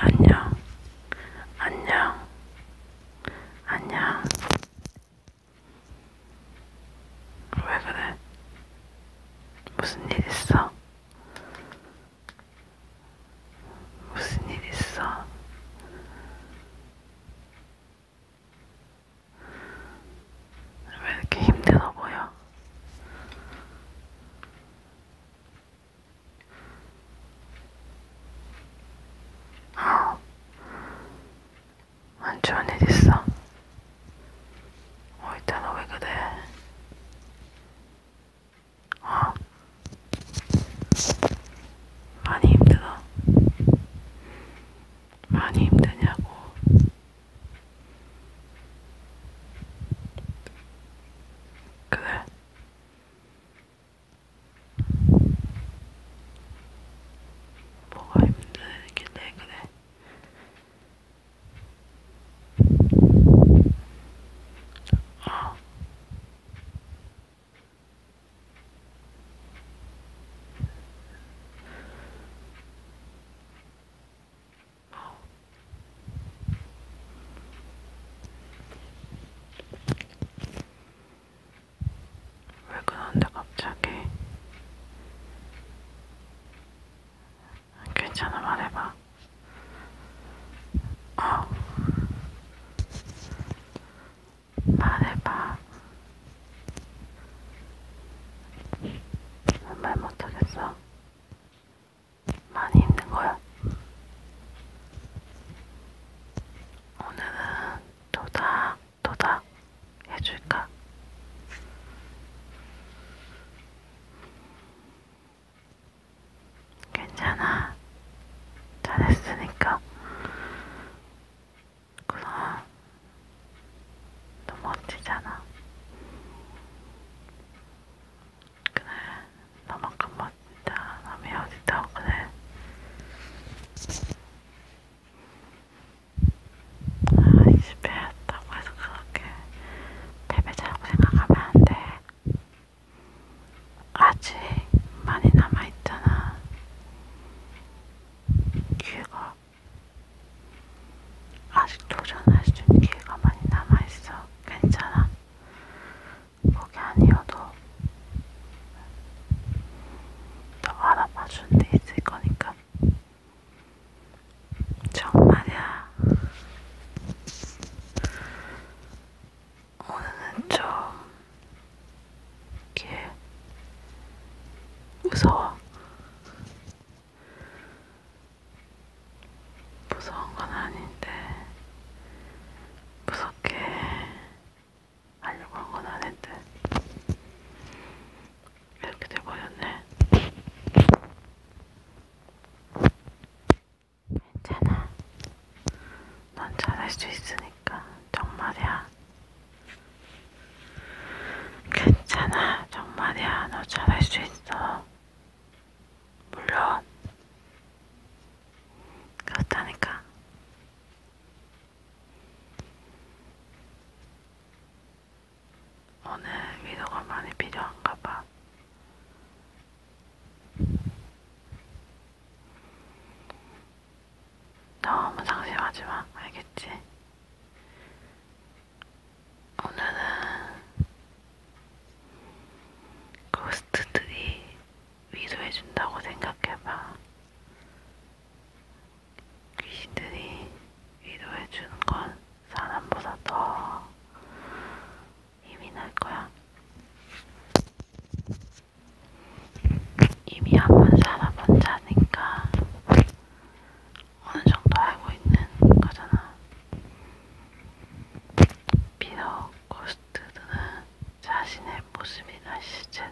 안녕, 안녕, 안녕. 왜 그래? 무슨 일 있어? 무슨 일 있어? 왜 이렇게 힘들어 보여? 아, 안 좋은 일 있어? 어, 일단 너왜 그래? 어, 많이 힘들어. 많이 힘드냐고. 그래. 뭐가 힘들길래 그래. 어. 왜 그런데 갑자기? 괜찮아 말해봐. 어. 말해봐. 말 못하겠어. 많이 힘든 거야. 오늘은 도닥 도닥 해줄까? 괜찮아. 잘했으니까 그럼 너무 멋지잖아. 그래, 너만큼 멋지다. 남이 어디다 그래. 아, 이 집에 왔다고 해서 그렇게 패배자라고 생각하면 안 돼. 아직 많이 남아있잖아. 기회가 아직 도전할 수 있는 기회가 많이 남아있어. 괜찮아. 그게 아니어도 너 알아봐주는 데 있을 거니까. 정말이야. 오늘은 좀걔 무서워. 무서운 건 아닌데 무섭게 하려고 한 건 아닌데 이렇게 돼버렸네. 괜찮아. 난 잘할 수 있으니까 정말이야. 괜찮아, 정말이야. 너 잘할 수 있어. 물론 그렇다니까. 오늘 위로가 많이 필요한가 봐. 너무 상심하지 마. 알겠지? 오늘은 고스트들이 위로해준다고 생각해봐. 귀신들이 위로해주는 건 사람보다 더 힘이 날 거야. 이미 한 번 살아본 자니까 어느 정도 알고 있는 거잖아. 비록 고스트들은 자신의 모습이나 실체를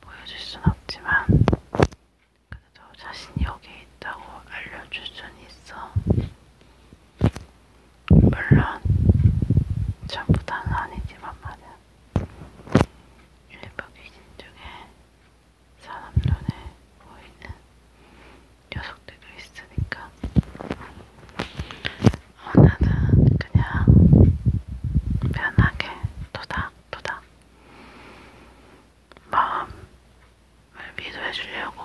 보여줄 순 없지만, 그래도 자신이 여기에 있다고 알려줄 수는 있어. 물론 전부 다는 아니지만 말이야. 일부 귀신 중에 사람 눈에 보이는 녀석들도 있으니까 오늘은 그냥 편하게 도닥도닥 마음을 위로해주려고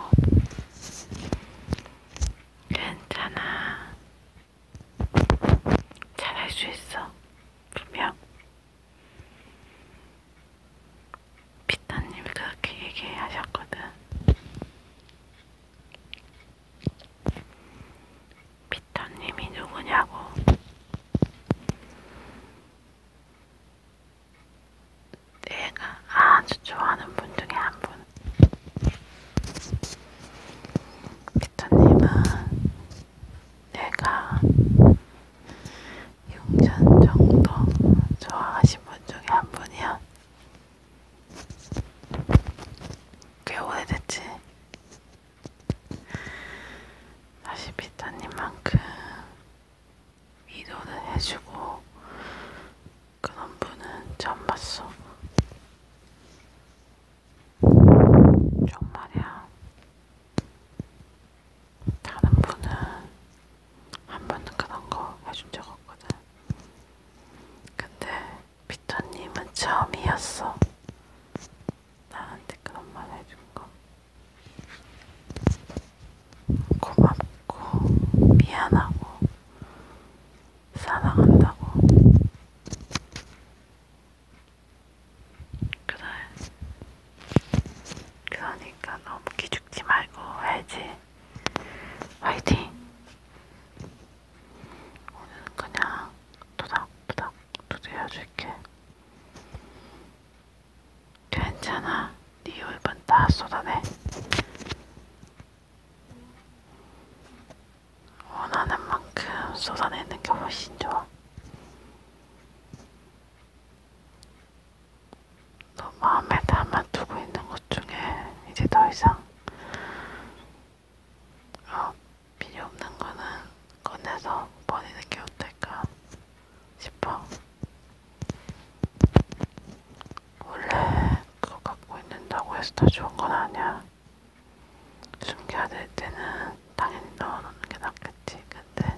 괜찮아 잘할 수 있어. 분명. 피타님 그렇게 얘기하셨거든. 피타님이 누구냐고. 내가 아주 좋아하는 분 중에 한 분. 기타님은 내가 용전 정도 좋아하신 분 중에 한 분이야. 꽤 오래됐지. 다시 비타님만큼 위로를 해주고 그런 분은 처음 봤어. 정말이야. 다른 분은 한 번도 그런 거 해준 적 없거든. 근데 피터님은 처음이었어. 나한테 그런 말 해준 거. 고맙고 미안하고 사랑한다고. 그래. 그러니까 너무 기죽지 말고 해야지. 화이팅! 오늘은 그냥 도닥도닥 두드려줄게. 괜찮아. 네 울분 다 쏟아내. 원하는 만큼 쏟아내는 게 훨씬 좋아. 너 마음에 담아두고 있는 것 중에 이제 더 이상 어, 필요 없는 거는 꺼내서 버리는 게 어떨까 싶어. 원래 그거 갖고 있는다고 해서 다 좋은 건 아니야. 숨겨야 될 때는 당연히 넣어놓는 게 낫겠지. 근데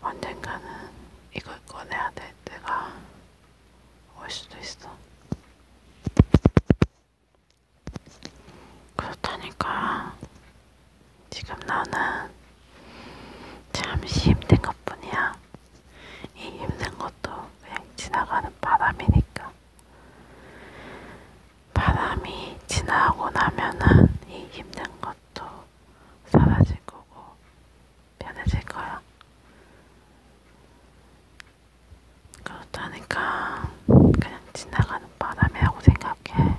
언젠가는 이걸 꺼내야 될 때가 올 수도 있어. 그렇다니까 지금 나는 잠시 힘든 것뿐이야. 이 힘든 것도 그냥 지나가는 바람이니까 바람이 지나고 나면은 이 힘든 것도 사라질 거고 편해질 거야. 그렇다니까 그냥 지나가는 바람이라고 생각해.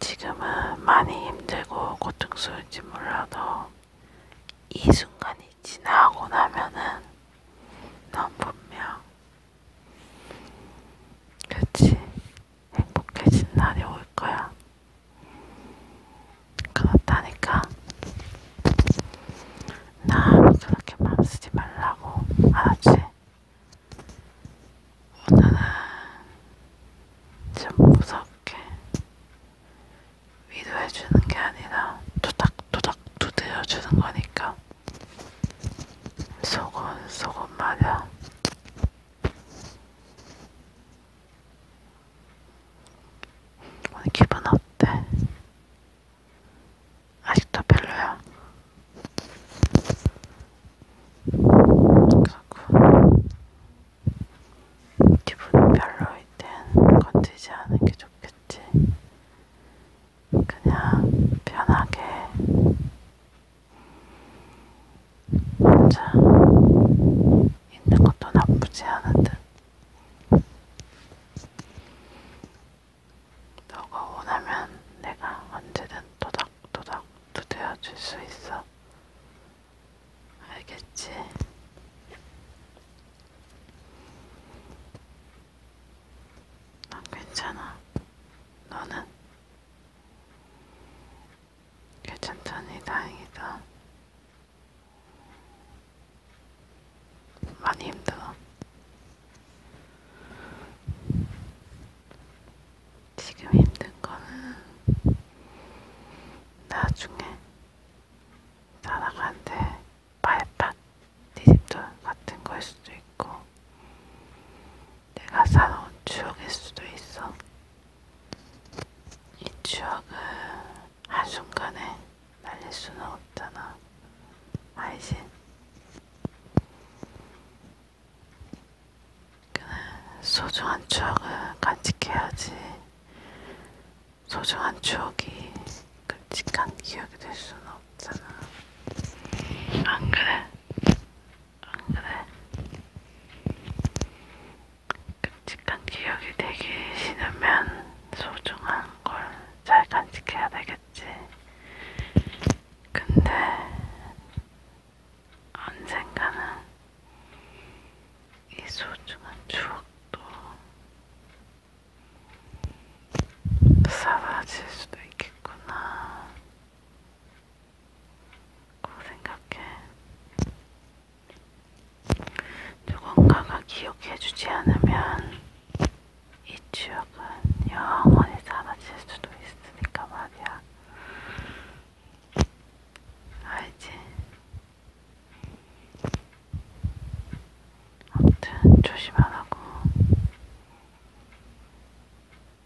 지금은 많이 힘들고 고통스러운지 몰라도 이 순간이 지나고 나면은 넌 분명 그치 행복해진 날이 올 거야. 그렇다니까 나 그렇게 맘 쓰지 말라고 알았지? 오늘은 좀 무섭게 위로해주는 게 아니라 토닥토닥 두드려주는 거니까 속은 속은 말야 오늘 기분 어때? 아직도 별로야? 그렇고 기분 별로일 땐 건드리지 않은 게 좋겠지. 그냥 편하게 혼자 있는 것도 나쁘지 않은 듯. 너가 원하면 내가 언제든 도닥도닥 두드려 줄수 있어. 알겠지? 난 괜찮아. 너는? 괜찮다니 다행이다. 많이 힘들어. 지금 힘든 거는 나중에 사람한테 발판 뒤집돌 같은 걸 수도 있고 내가 살아온 추억일 수도 있어. 이 추억을 한순간에 날릴 수는 없잖아. 알지? 소중한 추억을 간직해야지 소중한 추억이 끔찍한 기억이 될 수는 없잖아. 안 그래? 안 그래? 끔찍한 기억이 되기 싫으면 소중한 걸 잘 간직해야 되겠지. 근데 언젠가는 이 소중한 추억도 사라질 수도 있겠구나. 그 생각해. 누군가가 기억해주지 않으면 이 추억은 영원히 사라질 수도 있으니까 말이야. 알지? 아무튼 조심하라고.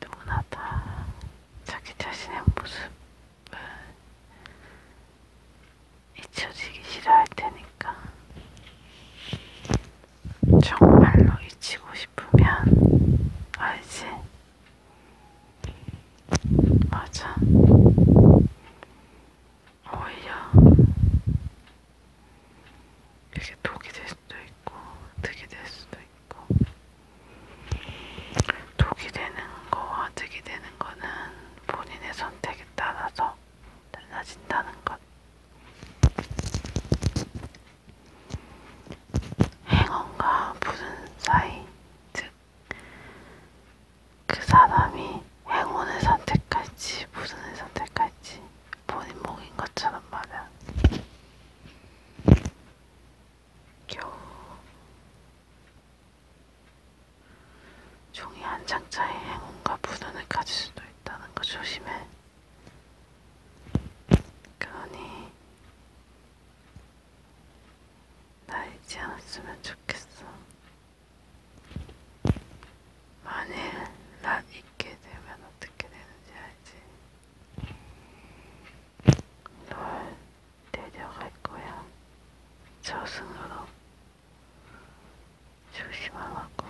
누구나 다 자기 자신의 모습을 잊혀지기 싫어할 테니까 정말로 잊히고 싶으면 알지? 맞아. 오히려 이게 독이 될 수도 있고, 득이 될 수도 있고, 독이 되는 거와 득이 되는 거는 본인의 선택에 따라서 달라진다는 것. 행운과 부른 사이 즉, 그 사람이 행운을 선택할지 무슨을 선택할지 본인 목인 것처럼 말이야. 겨우 종이 한 장짜리 행운과 불운을 가질 수도 있다는 거 조심해. 그러니 나이지 않았으면 좋겠어. 만일 난 있게 되면 어떻게 되는지 알지? 널 데려갈 거야. 저승으로 조심하라고.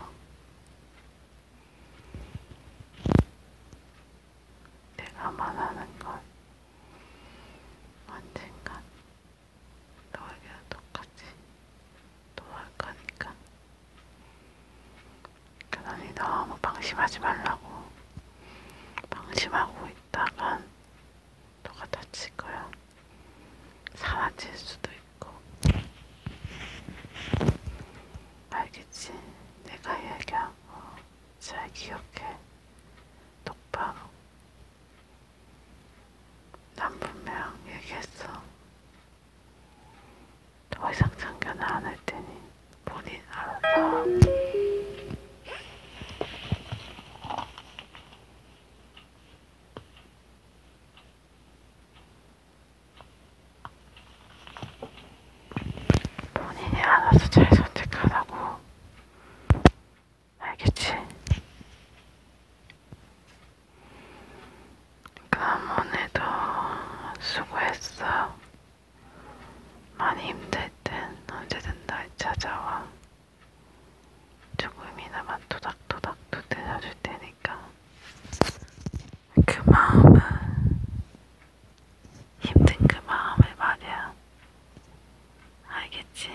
내가 말하는 건 언젠간 너에게도 똑같이 또할 거니까. 그러니 너무 방심하지 말라고. 방심하고 있다간 너가 다칠 거야. 사라질 수도 있고. 알겠지? 내가 이야기하고 잘 기억해. 똑바로. 난 분명 얘기했어. 더 이상 참견을 안할 테니 본인 알아서. 본인이 알아서 잘 선택하라고. 알겠지? 그럼 오늘도 수고했어. 많이 힘들 땐 언제든 날 찾아와. 조금이나마 토닥토닥도 들려줄 테니까. 그 마음은 힘든 그 마음을 말이야. 알겠지?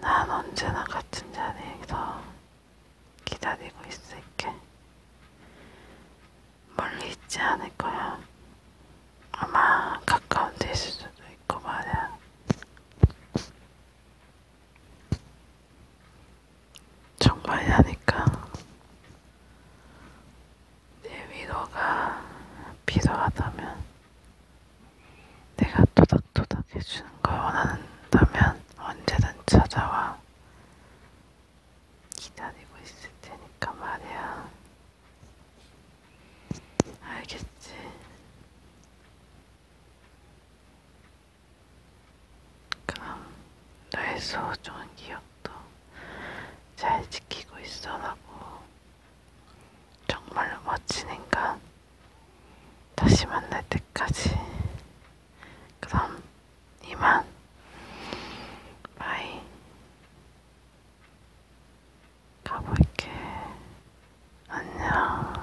난 언제나 같은 자리에서 기다리고 있을게. 멀리 있지 않을 거야. 아마 가까운 데 있을 수도 있고 말이야. 정말 하니까 내 위로가 필요하다면 내가 토닥토닥 해주는 걸 원한다면 언제든 찾아와 기다리고 있을 테니까 말이야 알겠지? 그럼 너의 소중한 기억도 잘 지키고 있어라고 정말로 멋진 인간 다시 만날 때까지 그럼 이만 바이 가볼게 안녕